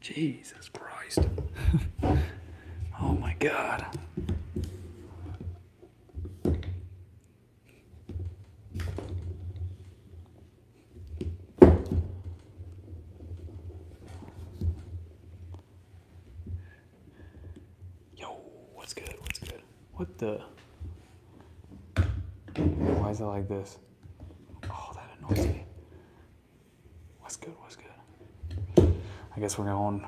Jesus Christ. oh my God. Yo, what's good? What's good? What the? Why is it like this? Oh, that annoys me. What's good? What's good? I guess we're going,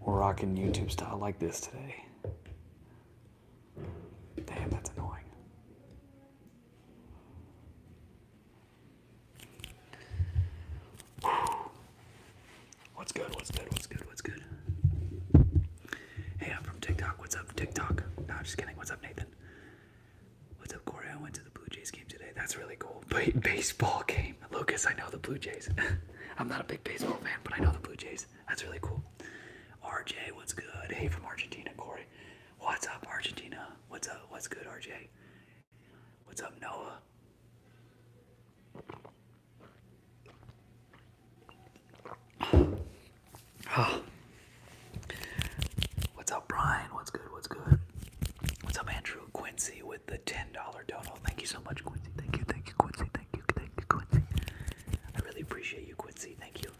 we're rocking YouTube style like this today. Damn, that's annoying. What's good? What's good? What's good? What's good? Hey, I'm from TikTok. What's up, TikTok? No, just kidding. What's up, Nathan? What's up, Corey? I went to the Blue Jays game today. That's really cool. baseball game. Lucas, I know the Blue Jays. I'm not a big baseball fan, but I know the Blue Jays. That's really cool. RJ, what's good? Hey, from Argentina, Corey. What's up, Argentina? What's up? What's good, RJ? What's up, Noah? Oh. What's up, Brian? What's good? What's good? What's up, Andrew Quincy with the $10 donut? Thank you so much, Quincy. Thank you, thank you, Quincy. Thank you, thank you, Quincy. I really appreciate you, Quincy. Thank you.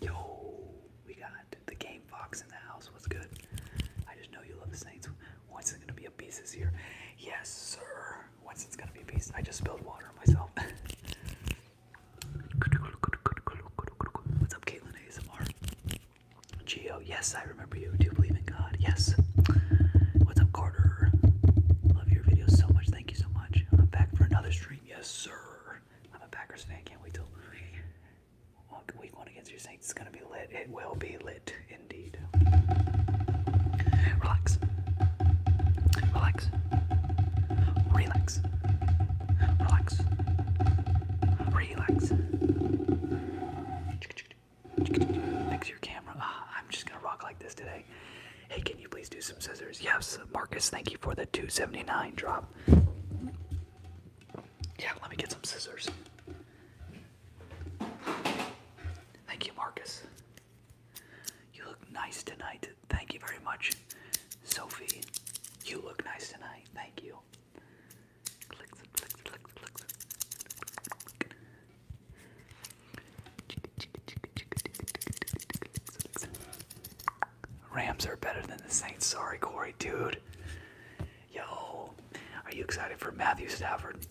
Yo, we got the game Fox in the house. What's good? I just know you love the Saints. What's it gonna be a piece this year? Yes, sir. What's it's gonna be a piece? I just spilled water myself. What's up, Caitlin ASMR? Geo, yes, I remember you. Do you believe in God? Yes. What's up, Carter? Love your videos so much. Thank you so much. I'm back for another stream. Yes, sir. I'm a Packers fan. Can't wait till we Week to get your Saints It's going to be lit. It will be lit indeed. Relax. Relax. Relax. Relax. Relax. Fix your camera. Uh, I'm just going to rock like this today. Hey, can you please do some scissors? Yes, Marcus, thank you for the 279 drop. Yeah, let me get some scissors. Thank you, Marcus. You look nice tonight. Thank you very much, Sophie. You look nice tonight. Thank you. Rams are better than the Saints. Sorry, Corey, dude. Yo, are you excited for Matthew Stafford?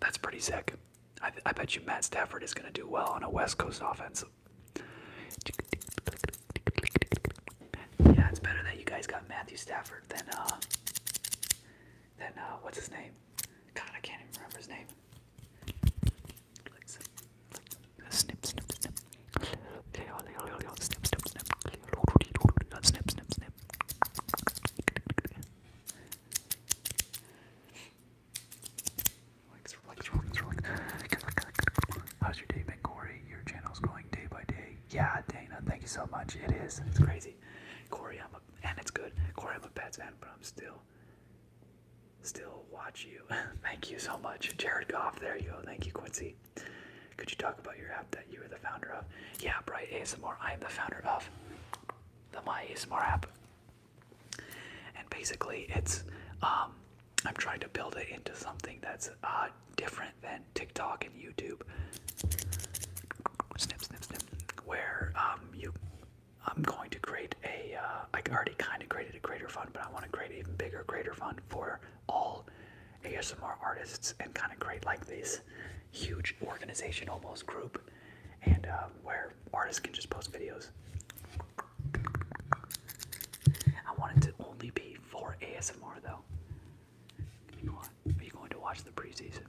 That's pretty sick. I, bet you Matt Stafford is gonna do well on a West Coast offense. Yeah, it's better that you guys got Matthew Stafford than uh, than uh, what's his name? God, I can't even remember his name. snip, snip, snip. How's your day been, Corey? Your channel's growing day by day. Yeah, Dana, thank you so much. It is. It's crazy. Cory. I'm a, and it's good. Cory, I'm a pet fan, but I'm still, still watch you. thank you so much. Jared Goff, there you go. Thank you, Quincy. Could you talk about your app that you are the founder of? Yeah, Bright ASMR. I am the founder of the My ASMR app. And basically, it's um, I'm trying to build it into something that's uh, different than TikTok and YouTube. Snip, snip, snip. Where um, I'm going to create a uh, I already kind of created a creator fund, but I want to create even bigger creator fund for all ASMR artists and kind of create like this huge organization almost group and um, where artists can just post videos. I want it to only be for ASMR though. Are you going to watch the preseason?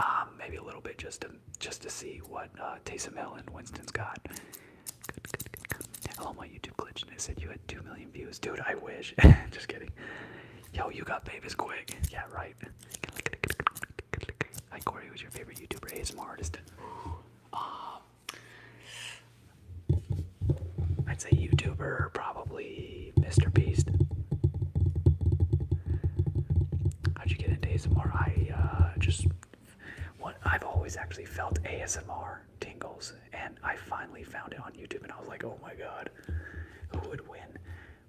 Um, maybe a little bit just to just to see what uh, Taysom Hill and Winston's got. Good, good, Hello, my YouTube glitch, and said you had 2 million views. Dude, I wish. Just kidding. Yo, you got babies quick. Yeah, right. Hi, Corey, who's your favorite YouTuber ASMR artist? Um, I'd say YouTuber, probably Mr. Beast. How'd you get into ASMR? I uh, just, what I've always actually felt ASMR tingles and I finally found it on YouTube, and I was like, oh my god, who would win?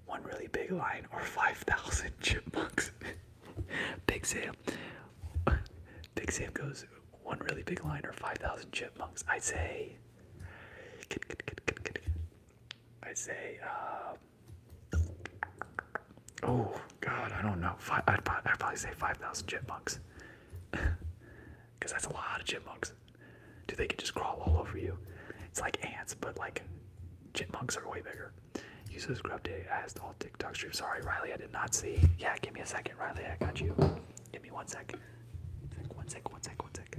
One really big line or 5,000 chipmunks? big Sam. Big Sam goes, one really big line or 5,000 chipmunks? I say, I say, uh, oh god, I don't know. i I'd probably say 5,000 chipmunks. because that's a lot of chipmunks. Dude, they could just crawl all over you. It's like ants, but like chipmunks are way bigger. Uses grub day as all TikTok stream. Sorry, Riley, I did not see. Yeah, give me a second, Riley. I got you. Give me one sec. One sec. One sec. One sec.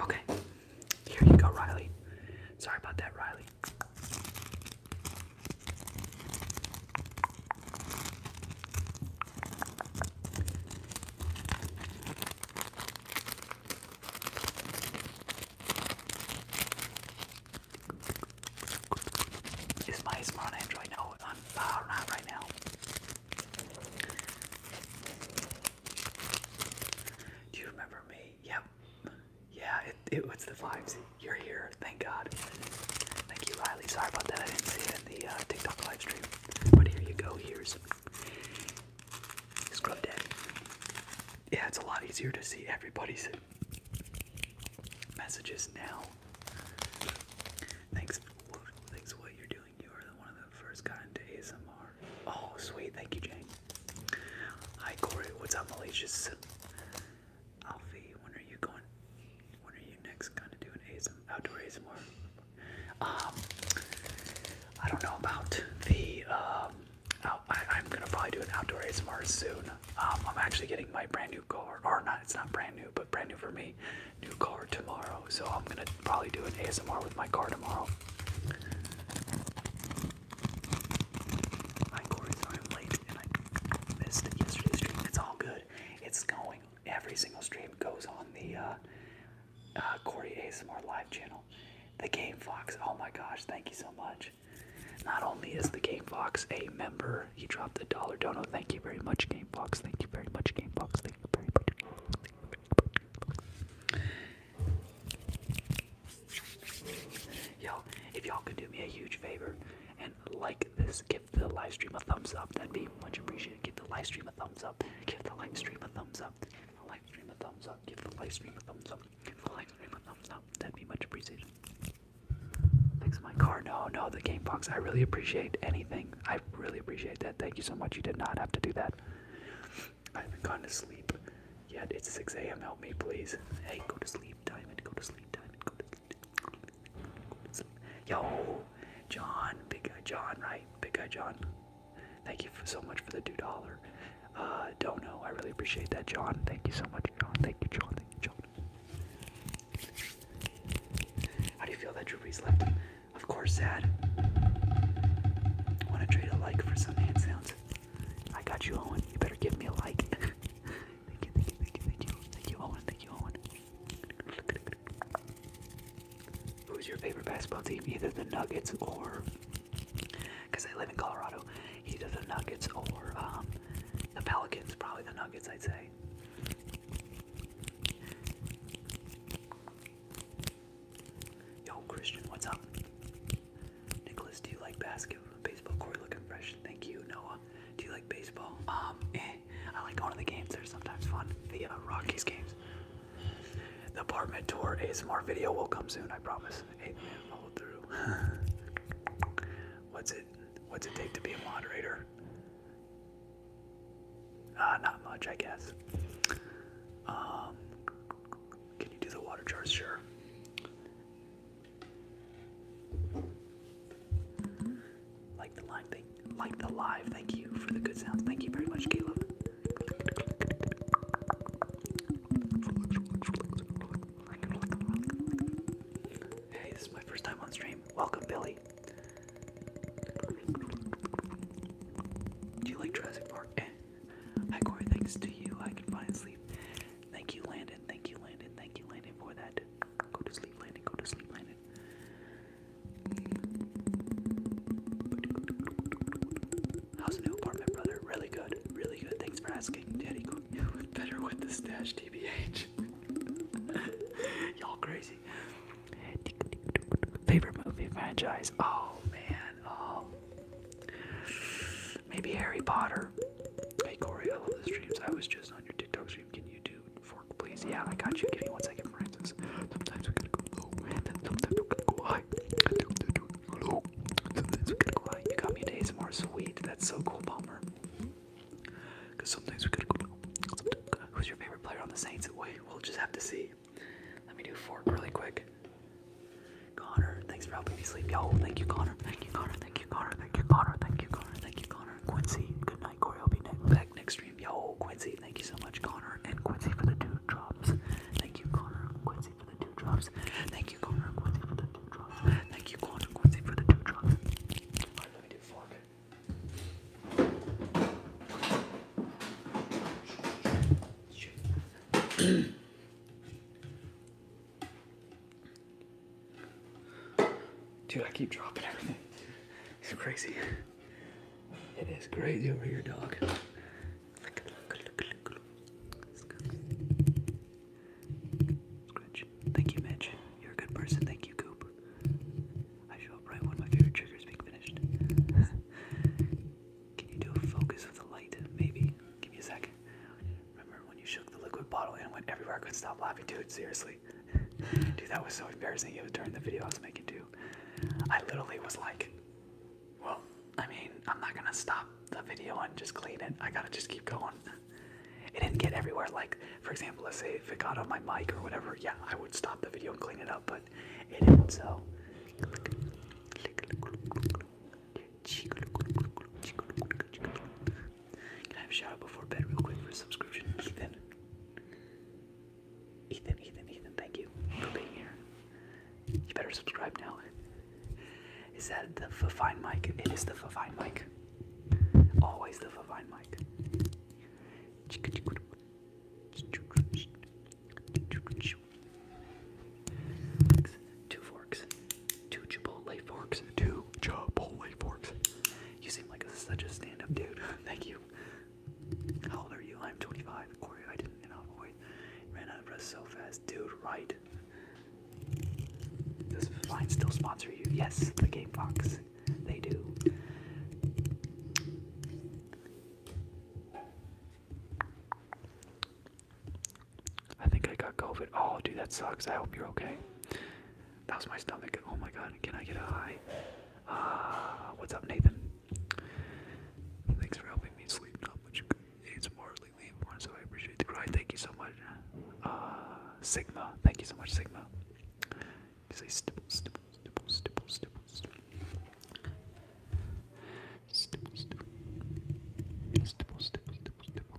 Okay, here you go, Riley. Sorry about that, Riley. Is my is Android? No, I'm not right now. Do you remember me? Yep. Yeah, it, it was the vibes you're here. Thank God. Thank you, Riley. Sorry about that. I didn't see it in the uh, TikTok live stream. But here you go. Here's Scrubbed Daddy. Yeah, it's a lot easier to see everybody's messages now. Thanks, thanks for what you're doing. You are the one of the first got into ASMR. Oh, sweet. Thank you, Jane. Hi, Corey. What's up, Malicious? Alfie, when are you going? When are you next gonna do an ASM outdoor ASMR? Um, I don't know about the. Um, out, I, I'm gonna probably do an outdoor ASMR soon. Um, I'm actually getting my brand new car, or not? It's not brand new, but brand new for me. New car tomorrow, so I'm gonna probably do an ASMR with my car tomorrow. I'm late and I missed yesterday's stream. It's all good. It's going. Every single stream goes on the uh, uh, Corey ASMR live channel. The Game Fox. Oh my gosh! Thank you so much. Not only is the Game Fox a member, he dropped the dollar dono. Thank you very much, Game Fox. Thank you very much, Game Fox. Thank you very much. Yo, if y'all could do me a huge favor and like this give the live stream a thumbs up. That'd be much appreciated. Give the live stream a thumbs up. Give the live stream a thumbs up. Give the live stream a thumbs up. Give the live stream a thumbs up. Give the live stream a thumbs up. That'd be much appreciated. Fix my car. No, no, the game box. I really appreciate anything. I really appreciate that. Thank you so much. You did not have to do that. I haven't gone to sleep yet. It's 6 a.m. Help me, please. Hey, go to sleep, Diamond. Go to sleep, Diamond. Go Yo, John, big guy John, right? Big guy John. Thank you so much for the two dollar. Uh, don't know. I really appreciate that, John. Thank you so much, John. Thank you, John. Thank you, John. How do you feel that Drew left? Of course, sad. Want to trade a like for some hand sounds? I got you, Owen. You better give me a like. thank you, thank you, thank you, thank you, thank you, Owen. Thank you, Owen. Who's your favorite basketball team? Either the Nuggets or, because I live in Colorado, either the Nuggets or um, the Pelicans. Probably the Nuggets, I'd say. Yo, Christian, what's up? Nicholas, do you like basketball, Corey, looking fresh. Thank you, Noah. Do you like baseball? Um, I like going to the games, they're sometimes fun. The uh, Rockies games. The apartment tour ASMR video will come soon, I promise. Hey, follow through. What's it? What's it take to be a moderator? Uh, not much, I guess. Um, can you do the water jars? Sure. Like the live thing. Like the live. Thank you for the good sounds. Thank you very much, Caleb. Hey, this is my first time on stream. Welcome, Billy. Do you like Jurassic Park? Eh. Hi, Corey. Thanks to you, I can finally sleep. Thank you, Landon. Thank you, Landon. Thank you, Landon, for that Go to sleep, Landon. Go to sleep, Landon. How's the new apartment, brother? Really good. Really good. Thanks for asking. Daddy, better with the stash, TBH. Y'all crazy. Favorite movie franchise? Oh, man. Oh. Maybe Harry Potter. Hey, Corey, I love the streams. I was just on your TikTok stream. Can you do fork, please? Yeah, I got you. Give me one second, Francis. Sometimes we gotta go low, and then sometimes we gotta go high. Sometimes we gotta go low, sometimes we gotta go high. You got me an ASMR, sweet. That's so cool, Palmer. Because sometimes we gotta go low. Sometimes gotta... Who's your favorite player on the Saints? Wait, we'll just have to see. Let me do fork really quick. Connor, thanks for helping me sleep. Yo, thank you, Connor. Thank you, Connor. Thank you, Connor. Thank you, Connor. Thank you, Connor. Thank you, Connor. Quincy, good I'll be back next stream. Yo, Quincy, thank you so much, Connor and Quincy for the two drops. Thank you, Connor and Quincy for the two drops. Thank you, Connor and Quincy for the two drops. Thank you, Connor Quincy for the two drops. Alright, let me Dude, I keep dropping everything. It's crazy. It is crazy over here, dog. Scratch. Thank you, Mitch. You're a good person. Thank you, Coop. I show up right when my favorite trigger is being finished. Can you do a focus with the light? Maybe. Give me a second. Remember when you shook the liquid bottle and went everywhere? I couldn't stop laughing, dude. Seriously. Dude, that was so embarrassing. It was during the video I was making too. I literally was like, well, I mean, I'm not gonna stop the video and just clean it. I gotta just keep going. It didn't get everywhere. Like, for example, let's say if it got on my mic or whatever, yeah, I would stop the video and clean it up, but it didn't, so. Can I have a shout out before bed real quick for a subscription? Ethan. Ethan, Ethan, Ethan, thank you for being here. You better subscribe now. Is that the Fafine mic? It is the Fafine mic. Always the Fafine mic. Two forks. Two Chipotle forks. Two Chipotle forks. You seem like such a stand-up dude. Thank you. How old are you? I'm 25. Corey, I didn't know. ran out of breath so fast, dude. Right. Does Vine still sponsor you? Yes, the Game They do. I think I got COVID. Oh, dude, that sucks. I hope you're okay. That was my stomach. Oh my god, can I get a high? Ah, what's up, Nathan? Thanks for helping me sleep. Not much it's morally born, so I appreciate the cry. Thank you so much. Uh, Sigma. Thank you so much, Sigma. You say stipple, stipple, stipple, stipple, stipple, stipple. Stipple, stipple, stipple, stipple, stipple,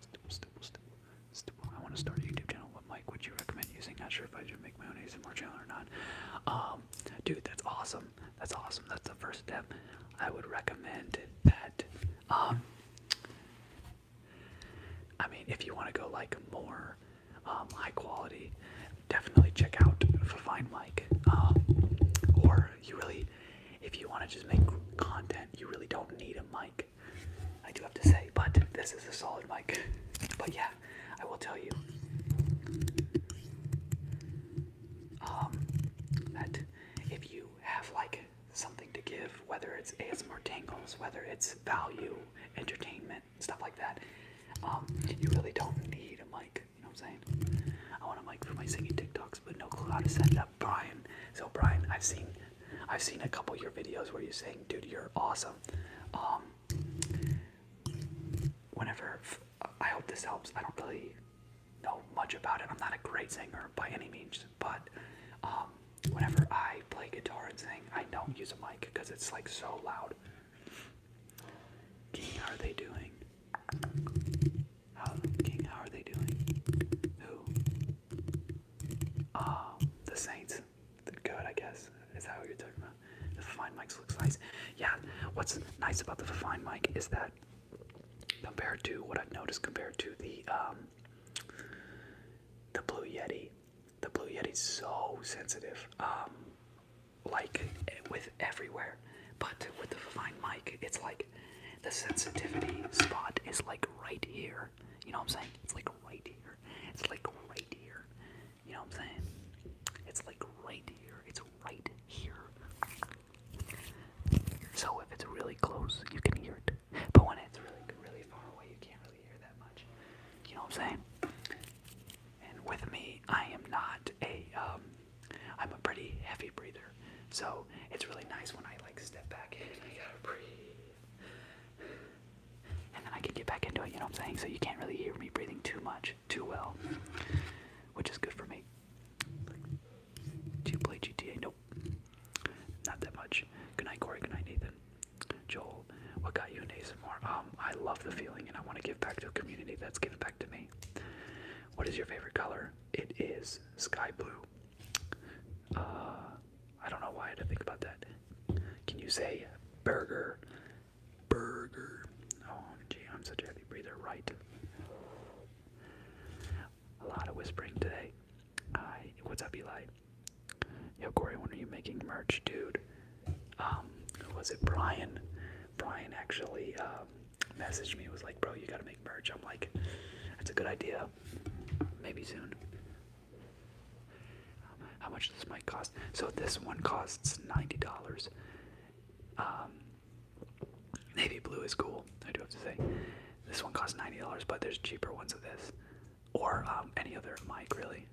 Stipple, stipple, stipple, stipple. I want to start a YouTube channel. What mic would you recommend using? Not sure if I should make my own ASMR channel or not. Um, dude, that's awesome. That's awesome. That's the first step. I would recommend that. Um, I mean, if you want to go like more um, high quality, definitely check out Fine Mic. Uh, um, or you really, if you want to just make content, you really don't need a mic. I do have to say, but this is a solid mic. But yeah, I will tell you um, that if you have like something to give, whether it's ASMR tangles, whether it's value, entertainment, stuff like that, um, you really don't need a mic. You know what I'm saying? I want a mic for my singing TikToks, but no clue how to set it up. Brian, so Brian, I've seen I've seen a couple of your videos where you're saying, dude, you're awesome. Um, whenever, I hope this helps. I don't really know much about it. I'm not a great singer by any means, but um, whenever I play guitar and sing, I don't use a mic because it's like so loud. King, how are they doing? How, King, how are they doing? Who? Uh, the Saints size I guess, is that what you're talking about? The Fine mics looks nice. Yeah, what's nice about the Fine mic is that compared to what I've noticed compared to the um, the Blue Yeti, the Blue Yeti's so sensitive, um, like with everywhere. But with the Fine mic, it's like the sensitivity spot is like right here. You know what I'm saying? It's like right here. It's like right here. You know what I'm saying? It's like right here. It's right here. So if it's really close, you can hear it. But when it's really, really far away, you can't really hear that much. You know what I'm saying? And with me, I am not a, um, I'm a pretty heavy breather. So it's really nice when I like step back and I gotta breathe and then I can get back into it, you know what I'm saying? So you can't really hear me breathing too much, too well, which is good for me. Do you play GTA? Nope. Not that much. Good night, Corey. Good night, Nathan. Joel, what got you in more? Um, I love the feeling and I want to give back to a community that's given back to me. What is your favorite color? It is sky blue. Uh, I don't know why I had to think about that. Can you say burger? Burger. Oh, gee, I'm such a heavy breather, right? A lot of whispering today. Hi, what's up, Eli? Yo, Corey, when are you making merch, dude? Um, was it Brian? Brian actually um, messaged me. Was like, bro, you gotta make merch. I'm like, that's a good idea. Maybe soon. How much this might cost? So this one costs ninety dollars. Um, navy blue is cool. I do have to say, this one costs ninety dollars, but there's cheaper ones of this, or um, any other mic really.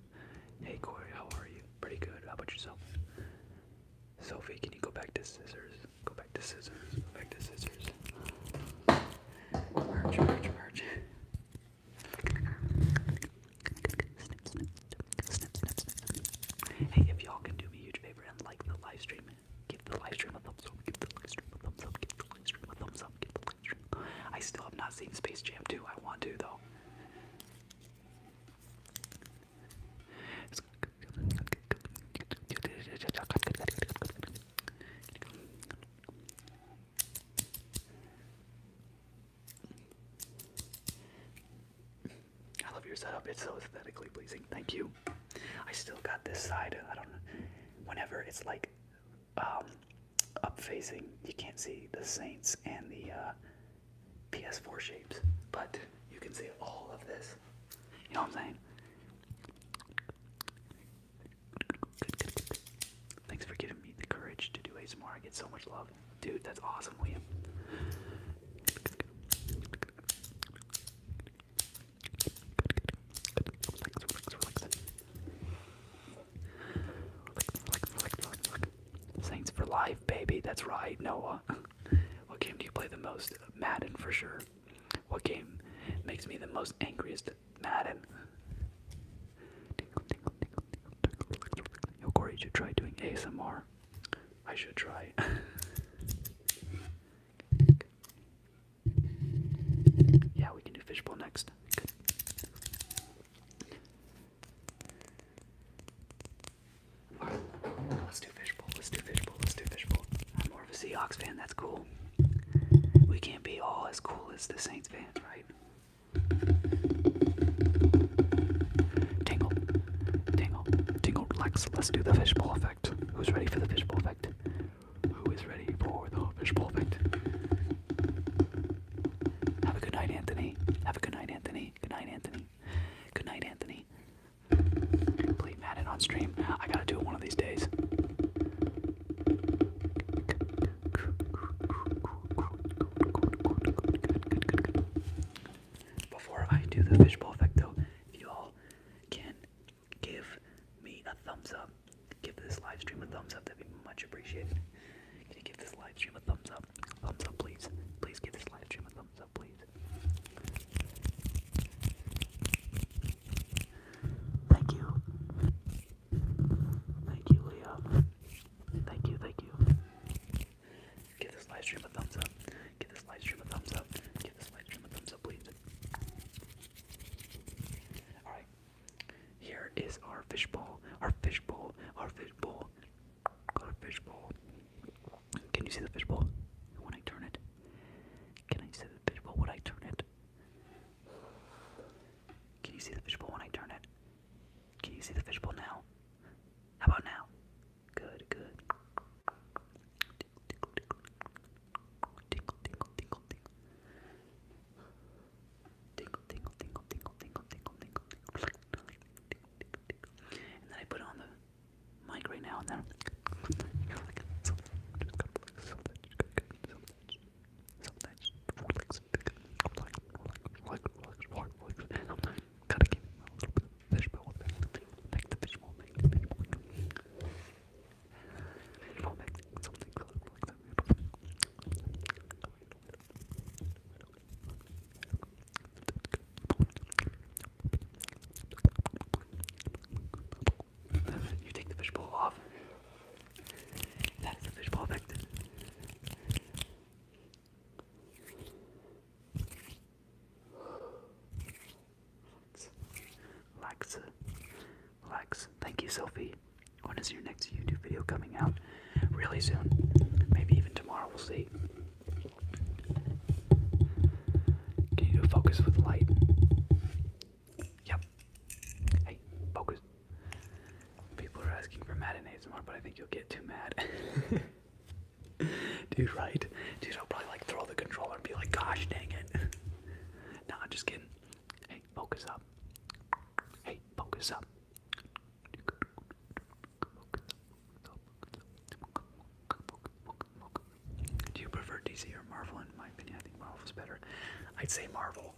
Hey Corey, how are you? Pretty good. How about yourself? Sophie, can you go back to scissors? Go back to scissors. Go back to scissors. Merch, merch, merch. Hey, if y'all can do me a huge favor and like the live give the live a thumbs up, give the live a thumbs up, give the live a thumbs up, give the live I still have not seen Space Jam 2. I want to though. I love your setup. It's so aesthetically pleasing. Thank you. I still got this side. I don't know. Whenever it's like um, up facing, you can't see the Saints and the uh, PS4 shapes, but you can see all of this. You know what I'm saying? Thanks for giving me the courage to do ASMR. I get so much love. Dude, that's awesome, William. Relax, Saints for life, baby. That's right, Noah. what game do you play the most? Madden, for sure. What game makes me the most angriest? Madden. Yo, Corey, should try doing ASMR. I should try. yeah, we can do fishbowl next. let's do fishbowl, let's do fishbowl, let's do fishbowl. I'm more of a Seahawks fan, that's cool. We can't be all as cool as the Saints fans, right? Tingle, tingle, tingle, relax. Let's do the fishbowl effect. Who's ready for the fishbowl effect? Who is ready for the fishbowl effect? Have a good night, Anthony. Have a good night, Anthony. Good night, Anthony. Good night, Anthony. Play Madden on stream. I gotta do it one of these days. Before I do the fishbowl effect, though, if you all can give me a thumbs up, give this live a thumbs up, that'd be much appreciated. Can you give this live a thumbs up? Thumbs up, please. Please give this live a thumbs up, please. Thank you. Thank you, Leah. Thank you, thank you. Give this live a thumbs up. Give this live a thumbs up. Give this live a thumbs up, please. Alright. Here is our fishbowl. Our fishbowl. Our fishbowl. Our fishbowl. Can you see the fishbowl? When I turn it. Can I see the fishbowl when I turn it? Can you see the fishbowl when I turn it? Can you see the fishbowl now? How about now? Good, good. Tinkle, tinkle, tinkle, tinkle, tinkle, tinkle. Tinkle, tinkle, tinkle, tinkle, tinkle, tinkle, then I put on the mic right now and then. Sometimes relax, relax, relax, relax, relax, relax, and sometimes gotta give him a little bit of fishbowl thing. Make the fishbowl thing, the fishbowl thing. Fishbowl thing, something like that. You take the fishbowl off. That is the fishbowl effect. Relax. Relax. Thank you, Sophie. When is your next YouTube video coming out? Really soon. Maybe even tomorrow, we'll see. Can you focus with light? Yep. Hey, focus. People are asking for Madden more, but I think you'll get too mad. Dude, right? Dude, I'll probably like throw the controller and be like, gosh dang it. nah, just kidding. Hey, focus up. Hey, focus up. Do you prefer DC or Marvel? In my opinion, I think Marvel's better. I'd say Marvel.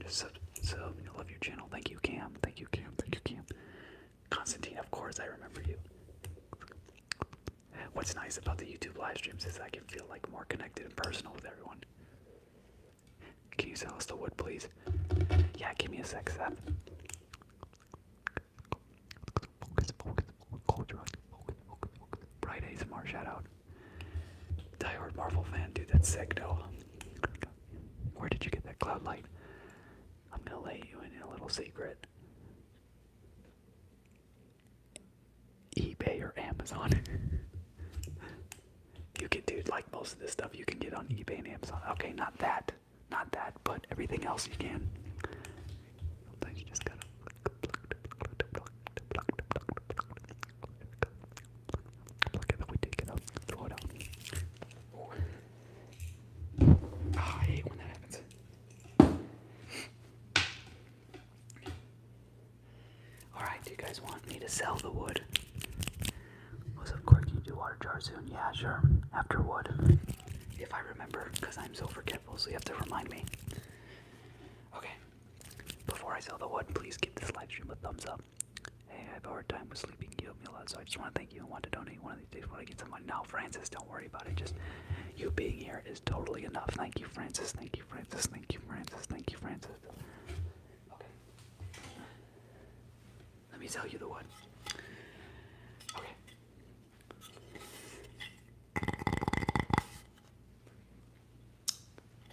Just sub, I love your channel. Thank you, Cam. Thank you, Cam. Thank you, Cam. Constantine, of course, I remember you. What's nice about the YouTube live streams is I can feel like more connected and personal with everyone. Can you sell us the wood, please? Yeah, give me a sec, Seth. Focus, focus, focus, focus, focus, focus. Bright ASMR shout out. Diehard Marvel fan, dude, that's sick, though. Where did you get that cloud light? I'm gonna lay you in a little secret. eBay or Amazon. you can do like most of this stuff you can get on eBay and Amazon. Okay, not that. Not that, but everything else you can. Sometimes you just gotta I'm lucky that we ah, I hate when that happens. Alright, do you guys want me to sell the wood? of course, can do water jar soon? Yeah, sure. After wood. If I remember, because I'm so forgetful, so you have to remind me. Okay. Before I sell the wood, please give this live a thumbs up. Hey, I have a hard time with sleeping. You help me a lot, so I just want to thank you and want to donate one of these days when I get some money. Now, Francis, don't worry about it. Just you being here is totally enough. Thank you, Francis. Thank you, Francis. Thank you, Francis. Thank you, Francis. Okay. Let me tell you the one. Okay.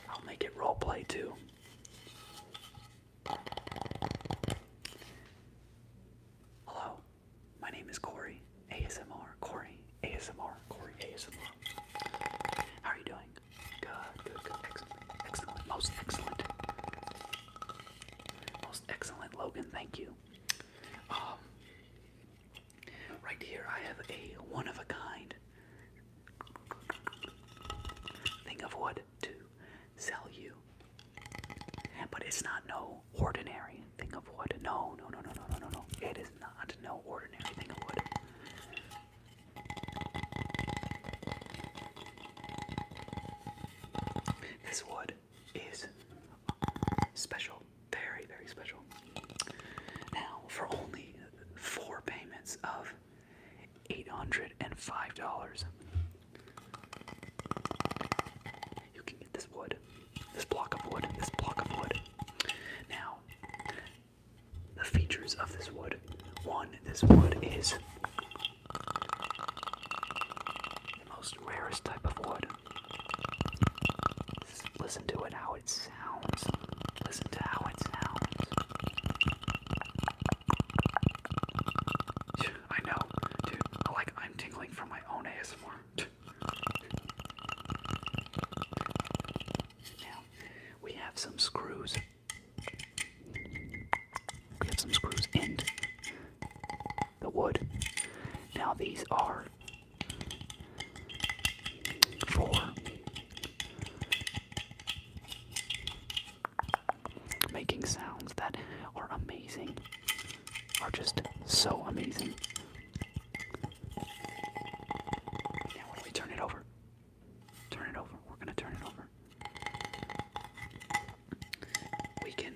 I'll make it role play too. Hello, my name is Corey ASMR. Corey ASMR. Corey ASMR. How are you doing? Good, good, good. Excellent, most excellent, most excellent. Logan, thank you. Um, right here I have a one of a kind thing of wood to sell you. But it's not no ordinary thing of wood. No, no, no, no, no, no, no, no. It is not no ordinary thing of wood. This wood is special, very, very special. Now, for only four payments of $805. You can get this wood, this block of wood, this block of wood. Now, the features of this wood. One, this wood is the most rarest type of wood. Listen to it, how it sounds. Listen to how it sounds. I know, dude. like I'm tingling from my own ASMR. Now we have some screws. We have some screws in the wood. Now these are for making sounds that are amazing, are just so amazing. Now, when we turn it over, turn it over, we're gonna turn it over. We can,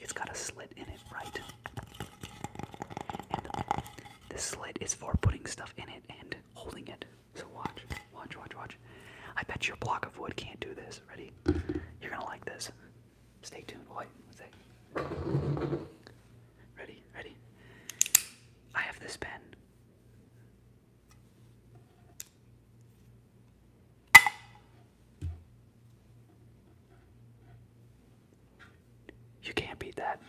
it's got a slit in it, right? And the slit is for putting stuff in it and holding it. So watch, watch, watch, watch. I bet your block of wood can't do this. Ready? You're gonna like this. Stay tuned. boy. Ready, ready. I have this pen. You can't beat that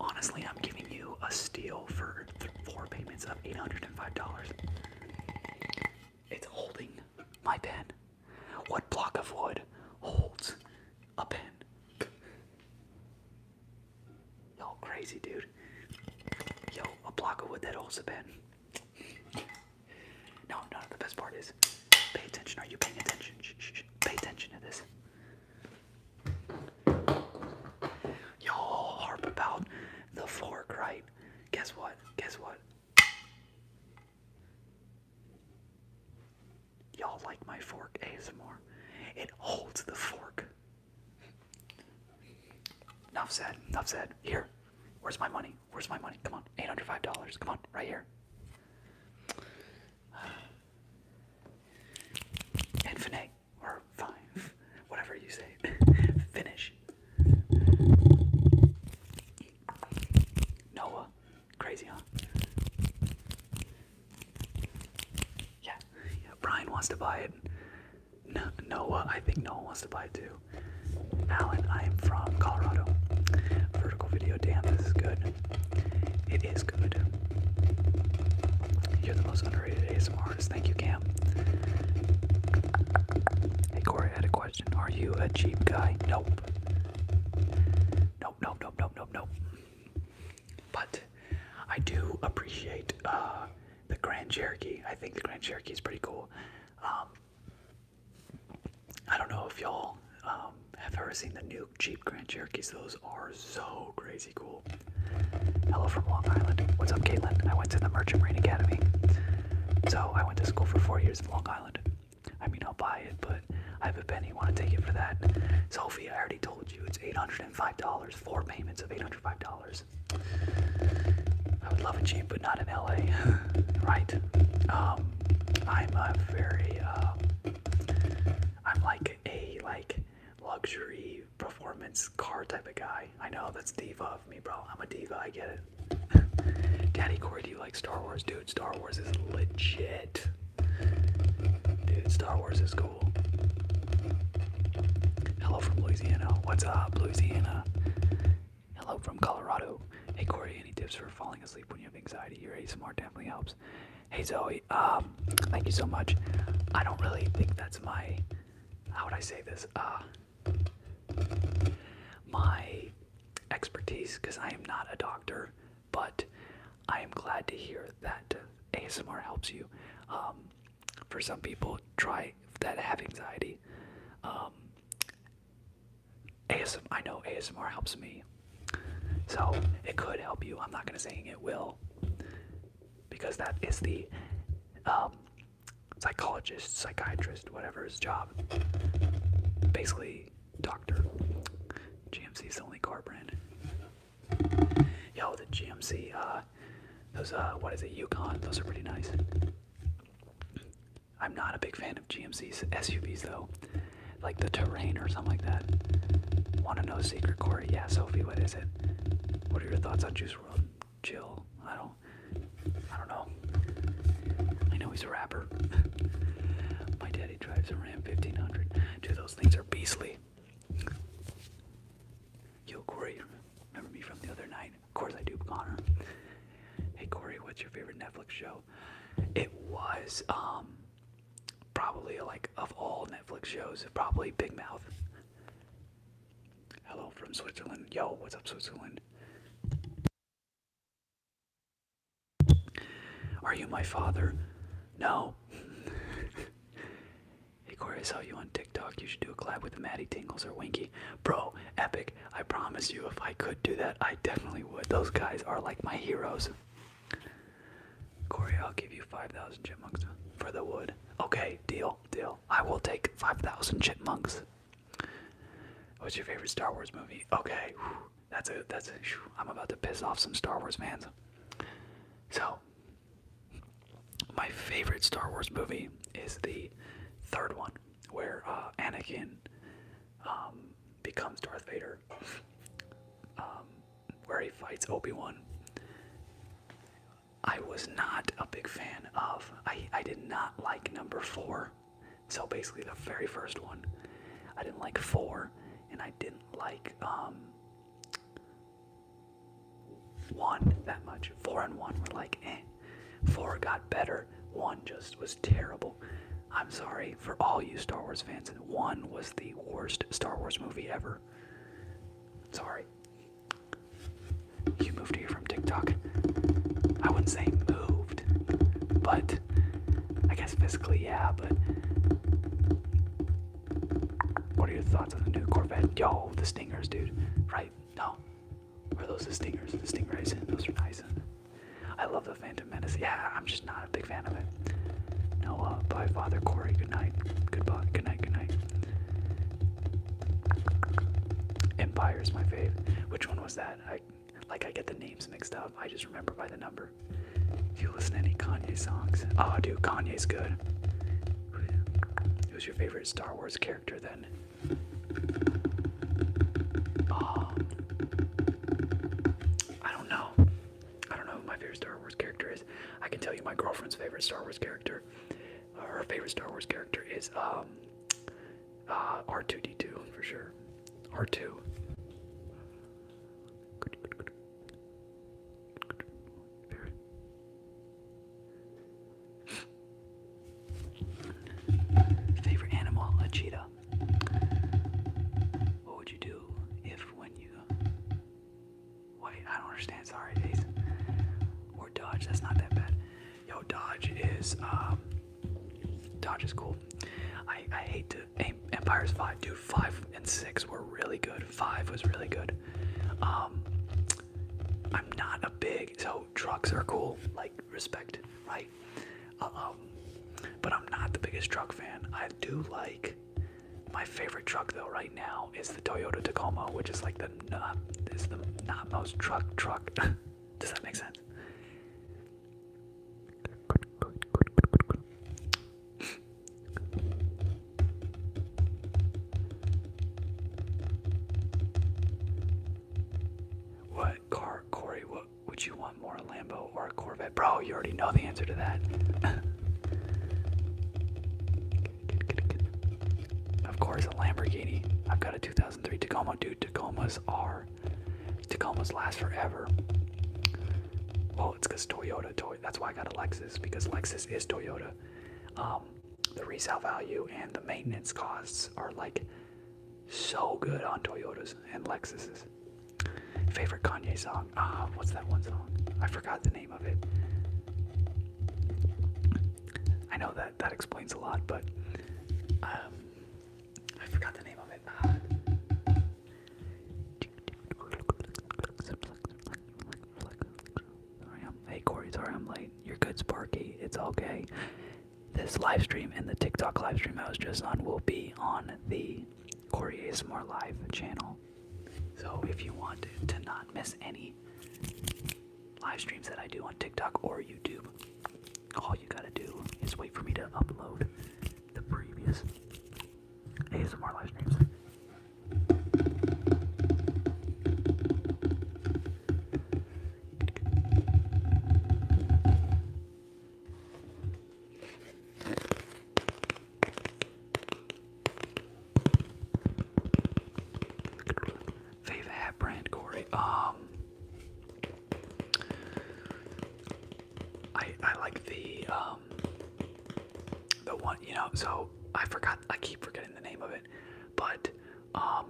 honestly, I'm giving you a steal for four payments of $805. It's holding my pen. What block of wood holds a pen? Y'all crazy, dude. Yo, a block of wood that holds a pen. No, no, the best part is pay attention. Are you paying attention? shh, shh. Pay attention to this. Y'all harp about the fork, right? Guess what? Guess what? Y'all like my fork ASMR. It holds the fork. Enough said. Enough said. Here. Where's my money? Where's my money? Come on. $805. Come on. Right here. Infinite or five, whatever you say. Finish. Noah. Crazy, huh? Yeah. yeah. Brian wants to buy it. No, Noah, I think Noah wants to buy it too. Alan, I am from Colorado. Vertical video, damn, this is good. It is good. You're the most underrated ASMR Thank you, Cam. Hey, Corey, I had a question. Are you a cheap guy? Nope. Nope, nope, nope, nope, nope, But I do appreciate uh, the Grand Cherokee. I think the Grand Cherokee is pretty cool. Um, I don't know if y'all um, have ever seen the new Jeep Grand Cherokees. Those are so crazy cool. Hello from Long Island. What's up, Caitlin? I went to the Merchant Marine Academy. So I went to school for four years in Long Island. I mean, I'll buy it, but I have a penny. Want to take it for that? Sophie, I already told you it's $805, four payments of $805. I would love a Jeep, but not in LA, right? Um, I'm a very, uh, I'm like a like luxury performance car type of guy. I know that's diva of me, bro. I'm a diva. I get it. Daddy Corey, do you like Star Wars, dude? Star Wars is legit, dude. Star Wars is cool. Hello from Louisiana. What's up, Louisiana? Hello from Colorado. Hey Corey, any tips for falling asleep when you have anxiety? Your ASMR definitely helps. Hey Zoe, um, thank you so much. I don't really think that's my how would I say this? Uh, my expertise, because I am not a doctor, but I am glad to hear that ASMR helps you. Um, for some people, try that have anxiety. Um, ASM, I know ASMR helps me, so it could help you. I'm not gonna saying it will, because that is the um, psychologist, psychiatrist, whatever his job. Basically, doctor. GMC's the only car brand. Yo, the GMC, uh, those, uh, what is it, Yukon? Those are pretty nice. I'm not a big fan of GMC's SUVs though, like the Terrain or something like that. Want to know secret, Corey? Yeah, Sophie, what is it? What are your thoughts on Juice World? Jill. I don't. I don't know. I know he's a rapper. My daddy drives a Ram 1500. Dude, those things are beastly. Yo, Corey, remember me from the other night? Of course I do, Connor. Hey, Corey, what's your favorite Netflix show? It was um probably like of all Netflix shows, probably Big Mouth. Hello from Switzerland. Yo, what's up, Switzerland? Are you my father? No. hey, Corey, I saw you on TikTok. You should do a collab with Maddie Tingles or Winky. Bro, epic. I promise you, if I could do that, I definitely would. Those guys are like my heroes. Corey, I'll give you 5,000 chipmunks for the wood. Okay, deal, deal. I will take 5,000 chipmunks. What's your favorite Star Wars movie? Okay, that's a that's a. am about to piss off some Star Wars fans. So, my favorite Star Wars movie is the third one, where uh, Anakin um, becomes Darth Vader, um, where he fights Obi Wan. I was not a big fan of. I, I did not like number four. So basically, the very first one. I didn't like four, and I didn't like um, one that much. Four and one were like, eh. Four got better, one just was terrible. I'm sorry for all you Star Wars fans, and one was the worst Star Wars movie ever. Sorry. You moved here from TikTok. I wouldn't say moved, but I guess physically, yeah, but. What are your thoughts on the new Corvette? Yo, the Stingers, dude. Right? No. Are those the Stingers? The Stingrays? Those are nice. I love the Phantom Menace. Yeah, I'm just not a big fan of it. No, uh, bye, Father Corey. Good night. Goodbye. Good night. Good night. Empire is my favorite. Which one was that? I like I get the names mixed up. I just remember by the number. Do you listen to any Kanye songs? Oh dude, Kanye's good. Who's your favorite Star Wars character then? Oh, I don't know. I don't know who my favorite Star Wars character is. I can tell you my girlfriend's favorite Star Wars character her favorite Star Wars character is um, uh, R2D2 for sure. R2. Favorite animal, a cheetah. What would you do if when you wait, I don't understand, sorry, Ace. Or dodge, that's not that bad. Yo, dodge is um, dodge is cool. I I hate to aim. Empire's five, dude. Five and six were really good. Five was really good. Um, I'm not a big so trucks are cool. Like respect, right? Uh, um, but I'm not the biggest truck fan. I do like. My favorite truck though right now is the Toyota Tacoma, which is like the the is the not most truck truck. Does that make sense? What car, Corey? What would you want more, a Lambo or a Corvette? Bro, you already know the answer to that. Of course, a Lamborghini. I've got a 2003 Tacoma, dude. Tacomas are. Tacomas last forever. Well, it's because Toyota. Toy that's why I got a Lexus because Lexus is Toyota. Um, the resale value and the maintenance costs are like so good on Toyotas and Lexus's. Favorite Kanye song? Ah, what's that one song? I forgot the name of it. I know that that explains a lot, but um, I forgot the name of it. Uh, hey Cory, sorry I'm late. You're good, Sparky. It's okay. This live stream and the TikTok live stream I was just on will be on the Cory is More Live channel. So if you want to not miss any live streams that I do on TikTok or YouTube, all you gotta do is wait for me to upload the previous ASMR live streams. Fave hat brand, Corey. Um, I I like the um the one you know. So I forgot. I keep forgetting the name of it, but um,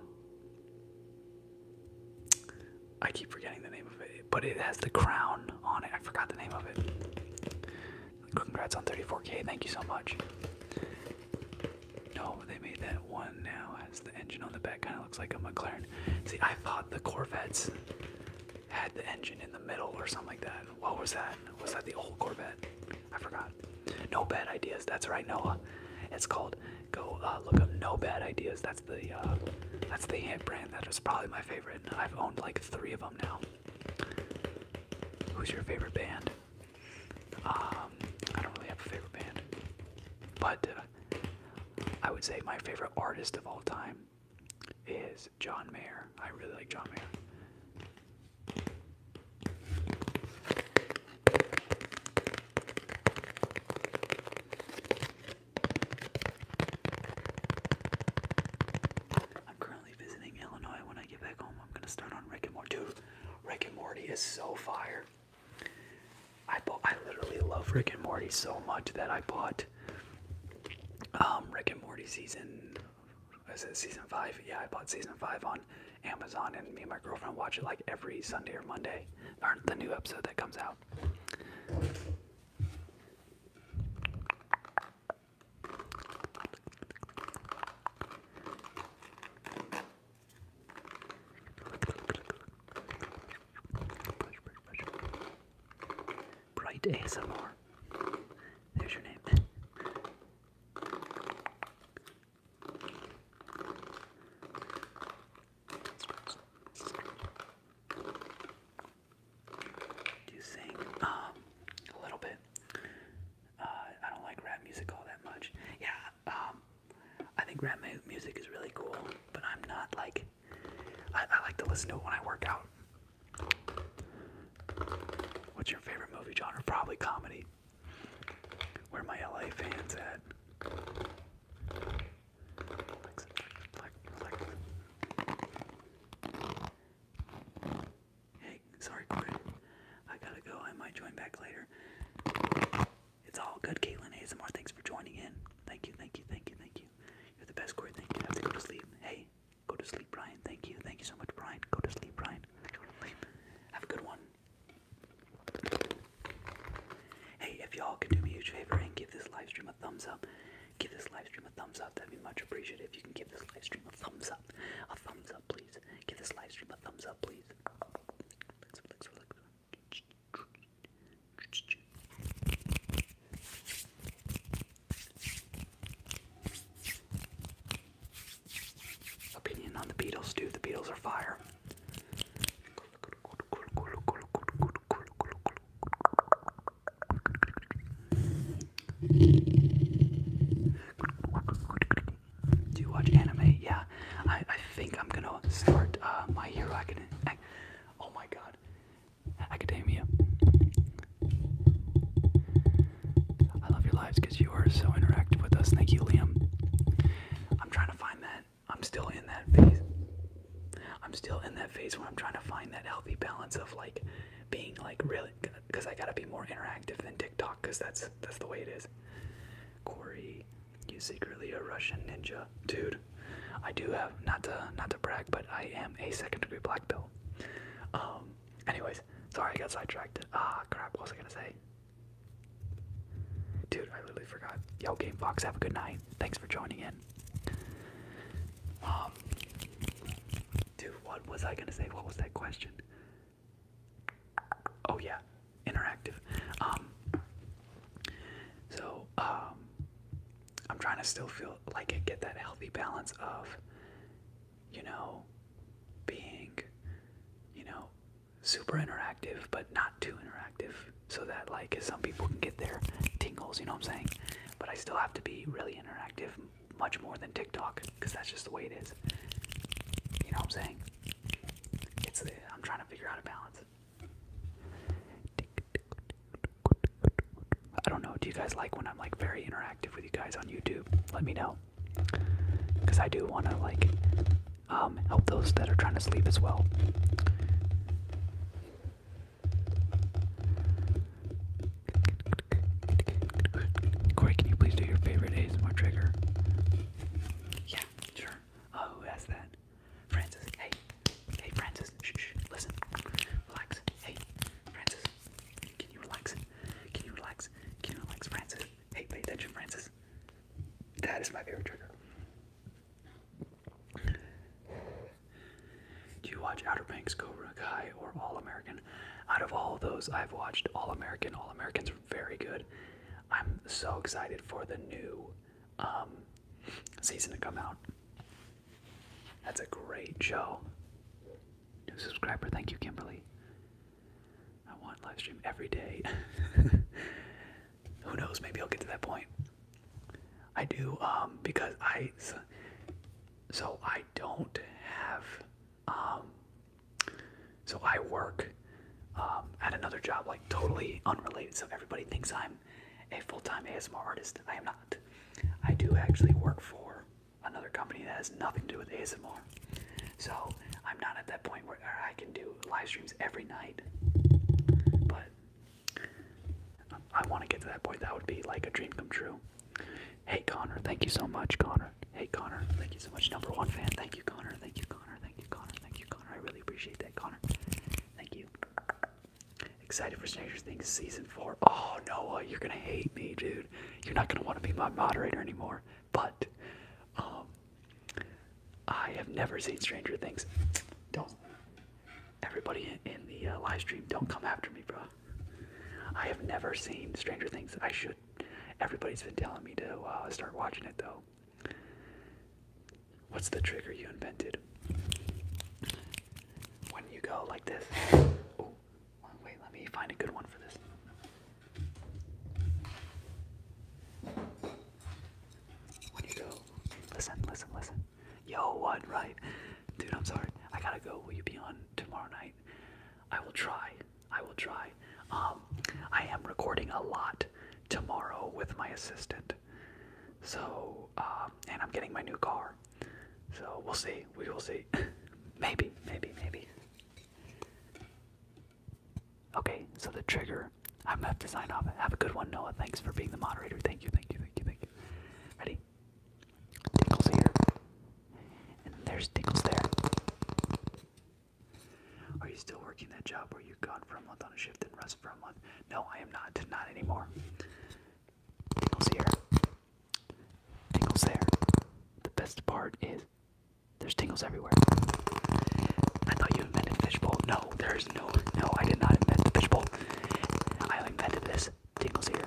I keep forgetting the name of it. But it has the crown on it. I forgot the name of it. Congrats on 34k. Thank you so much. No, they made that one now has the engine on the back. Kind of looks like a McLaren. See, I thought the Corvettes had the engine in the middle or something like that. What was that? Was that the old Corvette? I forgot. No bad ideas. That's right, Noah. It's called. Go uh, look up No Bad Ideas. That's the uh, that's the ant brand. That is probably my favorite. I've owned like three of them now. Who's your favorite band? Um, I don't really have a favorite band, but uh, I would say my favorite artist of all time is John Mayer. I really like John Mayer. I'm currently visiting Illinois. When I get back home, I'm gonna start on Rick and Morty. Rick and Morty is so fire. I bought, I literally love Rick and Morty so much that I bought um, Rick and Morty season. Is it season five? Yeah, I bought season five on Amazon, and me and my girlfriend watch it like every Sunday or Monday, or the new episode that comes out. Bright ASMR. There's your name. Do you sing? Um, a little bit. Uh, I don't like rap music all that much. Yeah. Um, I think rap music is really cool, but I'm not like I, I like to listen to it when I work out. What's your favorite movie genre? Probably comedy. Where are my LA fans at? Hey, sorry, Corey. I gotta go. I might join back later. It's all good, Caitlin ASMR. Thanks for joining in. Thank you, thank you, thank you, thank you. You're the best, Corey. Thank you. have to go to sleep. Hey, go to sleep, Brian. Thank you. Thank you so much, Brian. Go to sleep, Brian. Go to sleep. Have a good one. Hey, if y'all could do me a huge favor and give this live stream a thumbs up, give this live stream a thumbs up. That'd be much appreciated if you can give this live stream a thumbs up. A thumbs up please. Give this live stream a thumbs up, please. Opinion on the Beatles, dude. The Beatles are fire. Do you watch anime? Yeah. I, I think I'm gonna start uh, My Hero Academia. Oh my god. Academia. I love your lives because you are so interactive with us. Thank you, Liam. I'm trying to find that. I'm still in that phase. I'm still in that phase where I'm trying to find that healthy balance of like being like really because I gotta be more interactive than TikTok because that's that's the way it is. Corey, you secretly a Russian ninja. Dude, I do have not to not to brag, but I am a second degree black belt. Um anyways, sorry I got sidetracked. Ah crap, what was I gonna say? Dude, I literally forgot. Yo Game Fox, have a good night. Thanks for joining in. Um Dude, what was I gonna say? What was that question? Oh yeah, interactive. Um, so um, I'm trying to still feel like I get that healthy balance of, you know, being, you know, super interactive but not too interactive, so that like some people can get their tingles. You know what I'm saying? But I still have to be really interactive, much more than TikTok, because that's just the way it is. You know what I'm saying? Uh, I'm trying to figure out a balance. I don't know. Do you guys like when I'm like very interactive with you guys on YouTube? Let me know, because I do want to like um, help those that are trying to sleep as well. Corey, can you please do your favorite ASMR trigger? Yeah, sure. Oh, who asked that? Francis. Hey. Hey, Francis. Shh, shh. Listen. Relax. Hey, Francis. Can you relax? Can you relax? Can you relax, Francis? Hey, pay attention, Francis. That is my favorite trigger. Do you watch Outer Banks, Cobra Kai, or All American? Out of all those, I've watched All American. All American's very good. I'm so excited for the new um, season to come out. That's a great show. New subscriber, thank you, Kimberly. I want live stream every day. Who knows? Maybe I'll get to that point. I do um, because I so I don't have um, so I work um, at another job, like totally unrelated. So everybody thinks I'm a full-time ASMR artist. I am not. I do actually work for another company that has nothing to do with ASMR. So I'm not at that point where I can do live streams every night. But I want to get to that point. That would be like a dream come true. Hey Connor, thank you so much, Connor. Hey Connor, thank you so much. Number one fan, thank you, Connor. Thank you, Connor. Thank you. Connor. Thank you, Connor. I really appreciate that, Connor. Thank you. Excited for Stranger Things season four. Oh, Noah, you're gonna hate me, dude. You're not gonna want to be my moderator anymore. But, um, I have never seen Stranger Things. Don't. Everybody in the uh, live stream, don't come after me, bro. I have never seen Stranger Things. I should. Everybody's been telling me to uh, start watching it though. What's the trigger you invented? When you go like this. Oh, wait, let me find a good one for this. When you go. Listen, listen, listen. Yo, what, right? Dude, I'm sorry. I gotta go. Will you be on tomorrow night? I will try. I will try. Um, I am recording a lot tomorrow with my assistant. So, um, and I'm getting my new car. So we'll see. We will see. maybe, maybe, maybe. Okay, so the trigger. I'm gonna have to sign off. Have a good one, Noah. Thanks for being the moderator. Thank you, thank you, thank you, thank you. Ready? Tinkles here. And there's Tinkles there. Are you still working that job where you gone for a month on a shift and rest for a month? No, I am not. Not anymore. Tingles here. Tingles there. The best part is there's tingles everywhere. I thought you invented bowl. No, there's no, no, I did not invent the bowl. I invented this. Tingles here.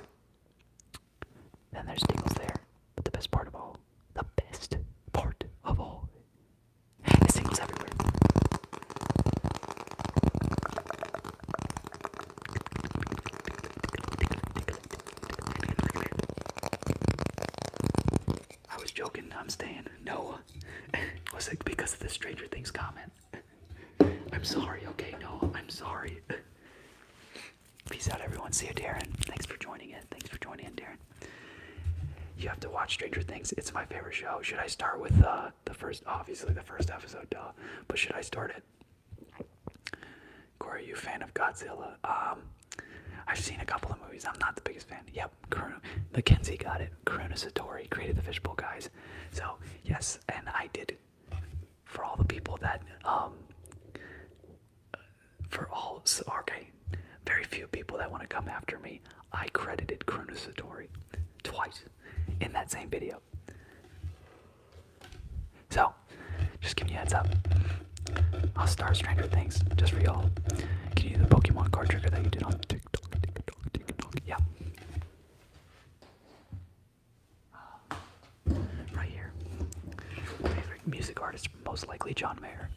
Then there's tingles there. But the best part of all, the best part of all I was joking, I'm staying. No. was it because of the Stranger Things comment? I'm sorry, okay, no, I'm sorry. Peace out, everyone. See you, Darren. Thanks for joining in. Thanks for joining in, Darren. You have to watch Stranger Things. It's my favorite show. Should I start with uh, the first, obviously the first episode, duh. But should I start it? Corey, you fan of Godzilla? Um, I've seen a couple of movies. I'm not the biggest fan. Yep, Karuna, Mackenzie got it. Karuna Satori created the Fishbowl guys. So yes, and I did. For all the people that um, for all okay, very few people that want to come after me. I credited Chronosatori twice in that same video. So, just giving you a heads up. I'll start Stranger Things just for y'all. Can you do the Pokemon card trigger that you did on TikTok? TikTok, TikTok? Yeah. Uh, right here. Favorite music artist, most likely John Mayer.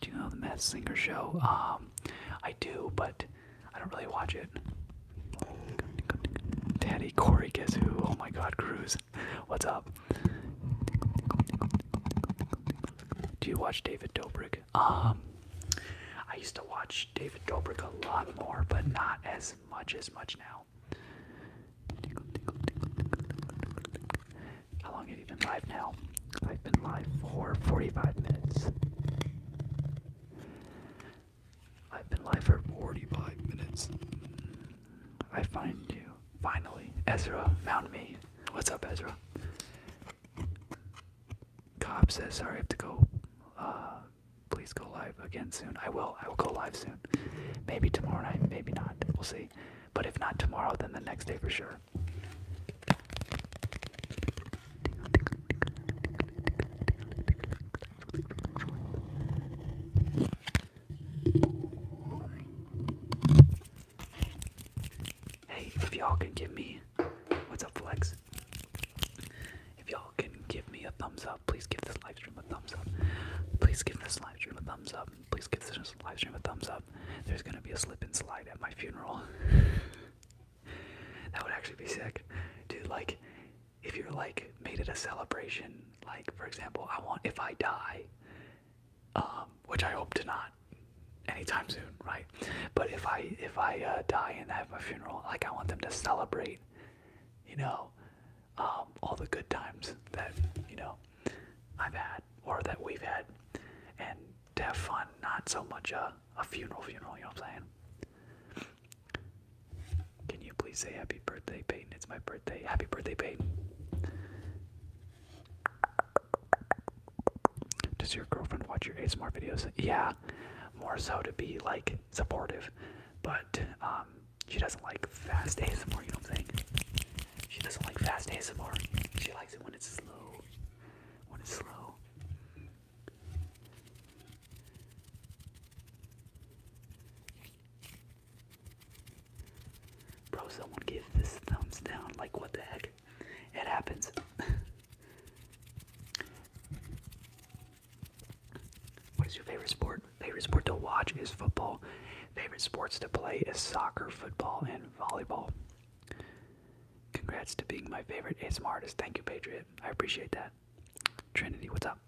Do you know the Matt Singer show? Um, I do, but I don't really watch it. Daddy Corey, guess who? Oh my God, Cruz, what's up? Do you watch David Dobrik? Um, I used to watch David Dobrik a lot more, but not as much as much now. How long have you been live now? I've been live for 45 minutes. I've been live for 45 minutes. I find you. Finally, Ezra found me. What's up, Ezra? Cobb says, sorry, have to go uh, please go live again soon. I will. I will go live soon. Maybe tomorrow night. Maybe not. We'll see. But if not tomorrow, then the next day for sure. Hey, if y'all can give me What's up, Flex? If y'all can give me a thumbs up, please give this livestream a thumbs up. Please give this livestream a thumbs up. Please give this livestream a thumbs up. There's gonna be a slip and slide at my funeral. that would actually be sick. Dude, like, if you're like made it a celebration, like for example, I want if I die, um, which I hope to not anytime soon, right? But if I if I uh, die in that have funeral. Like I want them to celebrate, you know, um, all the good times that you know I've had or that we've had, and to have fun, not so much a a funeral funeral. You know what I'm saying? Can you please say happy birthday, Peyton? It's my birthday. Happy birthday, Peyton. Does your girlfriend watch your ASMR videos? Yeah, more so to be like supportive, but um, she doesn't like fast ASMR. You know what I'm saying? She doesn't like fast ASMR. She likes it when it's slow. When it's slow. Bro, someone give this thumbs down. Like, what the heck? It happens. What is your favorite sport? Favorite sport to watch is football. Favorite sports to play is soccer, football, and volleyball. Congrats to being my favorite ASMR artist. Thank you, Patriot. I appreciate that. Trinity, what's up?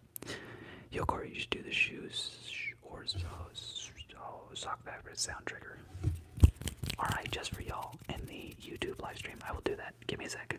Yo, Corey, you should do the shoes or oh, sock fabric sound trigger. Alright, just for y'all in the YouTube live stream. I will do that. Give me a sec.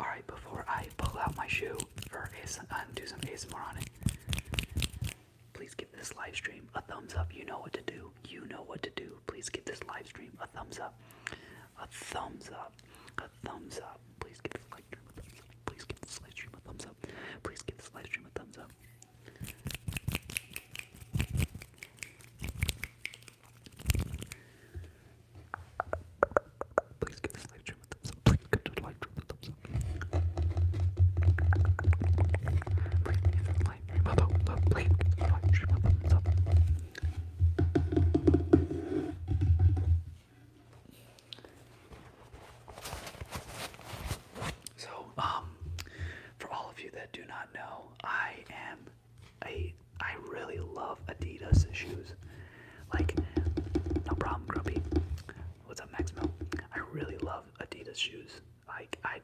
Alright, before I pull out my shoe for a uh, do some ASMR on it, please give this live stream a thumbs up. You know what to do. You know what to do. Please give this live stream a thumbs up. A thumbs up. A thumbs up. Please give this live stream a thumbs up. Please give this live stream a thumbs up. Please give this live stream a thumbs up. Please give this live stream a thumbs up. Please give this live stream a thumbs up. Please give this live stream a thumbs up. Please give this live stream a thumbs up. So, um, for all of you that do not know, I am a I really love Adidas shoes. Like, no problem, Grumpy. What's up, Maximo? I really love Adidas shoes. Like, I,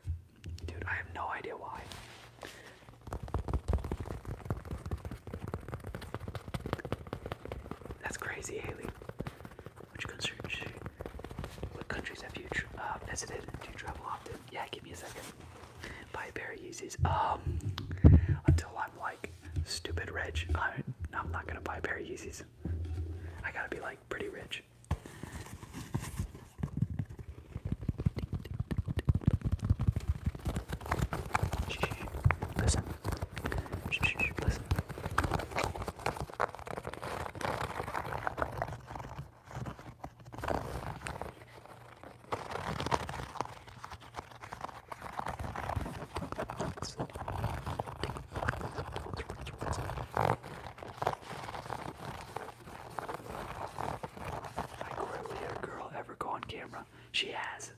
dude, I have no idea why. That's crazy, Haley. Which countries, what countries have you uh, visited? Do you travel often? Yeah, give me a second. Buy a pair of Yeezys. Um, until like stupid rich. I, am not gonna buy a pair of Yeezys. I gotta be like pretty rich. Shh, Listen. Listen. She has.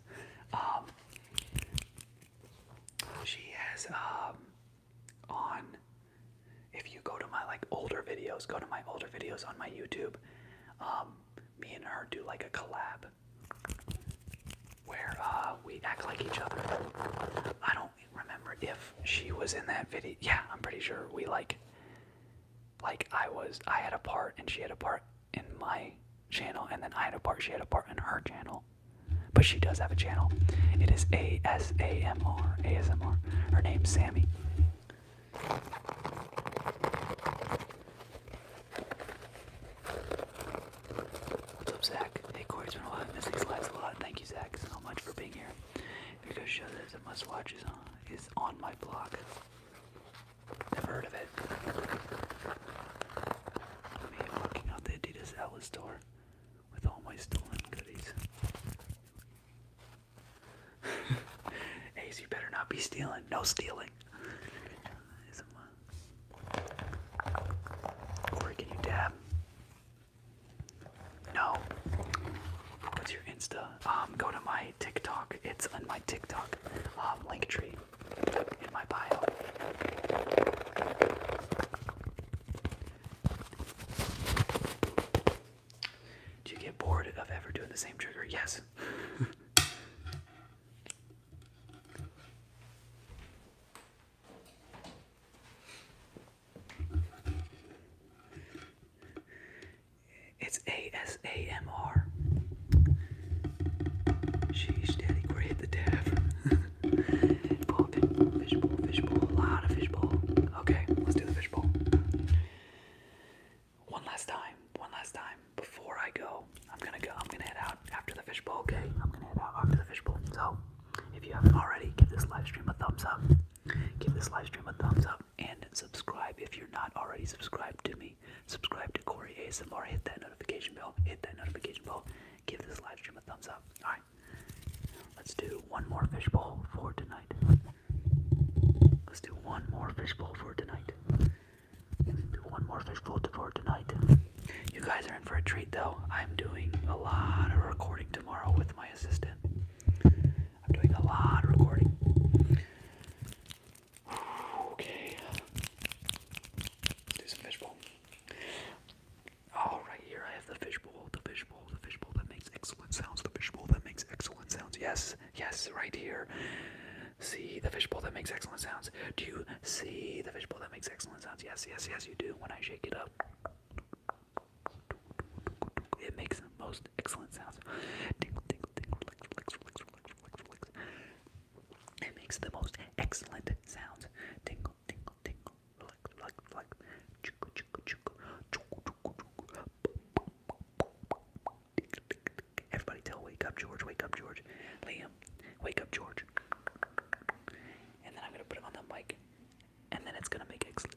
Um, she has um, on. If you go to my like older videos, go to my older videos on my YouTube. Um, me and her do like a collab where uh, we act like each other. I don't remember if she was in that video. Yeah, I'm pretty sure we like, like I was, I had a part and she had a part in my channel, and then I had a part, she had a part in her channel. But she does have a channel. It is A M R A S M R. Her name's Sammy. What's up, Zach? Hey, Corey, it's been a while. miss these lives a lot. Thank you, Zach, so much for being here. Because show that a must watch uh, is on, my block. Never heard of it. Me walking out the Adidas outlet store with all my stolen goodies. Ace, you better not be stealing. No stealing. Or can you dab? No. What's your Insta? Um, go to my TikTok. It's on my TikTok um, link tree in my bio. Do you get bored of ever doing the same trigger? Yes. It's ASAMR. Sheesh, daddy, great the dab. Pull a fishbowl, fishbowl, a lot of fishbowl. Okay, let's do the fishbowl. One last time, one last time before I go, I'm gonna go. I'm gonna head out after the fishbowl. Okay, I'm gonna head out after the fishbowl. So, if you haven't already, give this live stream a thumbs up. Give this live stream a thumbs up and subscribe if you're not already subscribed to me. Subscribe to Corey ASMR. Hit that notification bell. Hit that notification bell. Give this live stream a thumbs up. All right, let's do one more fishbowl for tonight. Let's do one more fishbowl for tonight. Do one more fish float for tonight. You guys are in for a treat though. I'm doing a lot of recording tomorrow with my assistant. I'm doing a lot of recording. Okay. Do some fishbowl. Oh, right here I have the fishbowl, the fishbowl, the fishbowl that makes excellent sounds, the fishbowl that makes excellent sounds. Yes, yes, right here. See the fishbowl that makes excellent sounds. Do you see the fishbowl that makes excellent excellent sounds. Yes, yes, yes, you do. When I shake it up, it makes the most excellent sounds. It makes the most excellent sounds. Tingle, tingle, tingle, Everybody tell wake up George, wake up George. Liam, wake up George and then I'm gonna put it on the mic, and then it's gonna make excellent.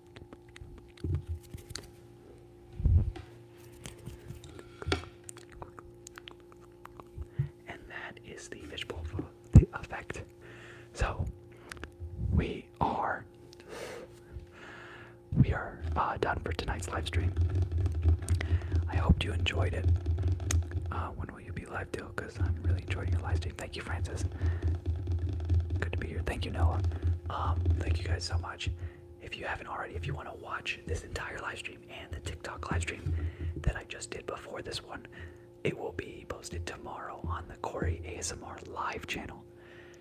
And that is the fishbowl effect. So we are we are uh, done for tonight's live stream. I hope you enjoyed it. Uh, when will you be live till? Because I'm really enjoying your live stream. Thank you, Francis. Good to be here. Thank you, Noah. Um, thank you guys so much. If you haven't already, if you want to watch this entire live stream and the TikTok live stream that I just did before this one, it will be posted tomorrow on the Corey ASMR Live channel.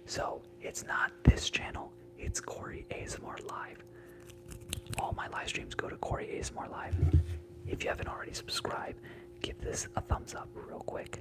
So it's not this channel, it's Corey ASMR Live. All my live streams go to Corey ASMR Live. If you haven't already subscribed, give this a thumbs up real quick.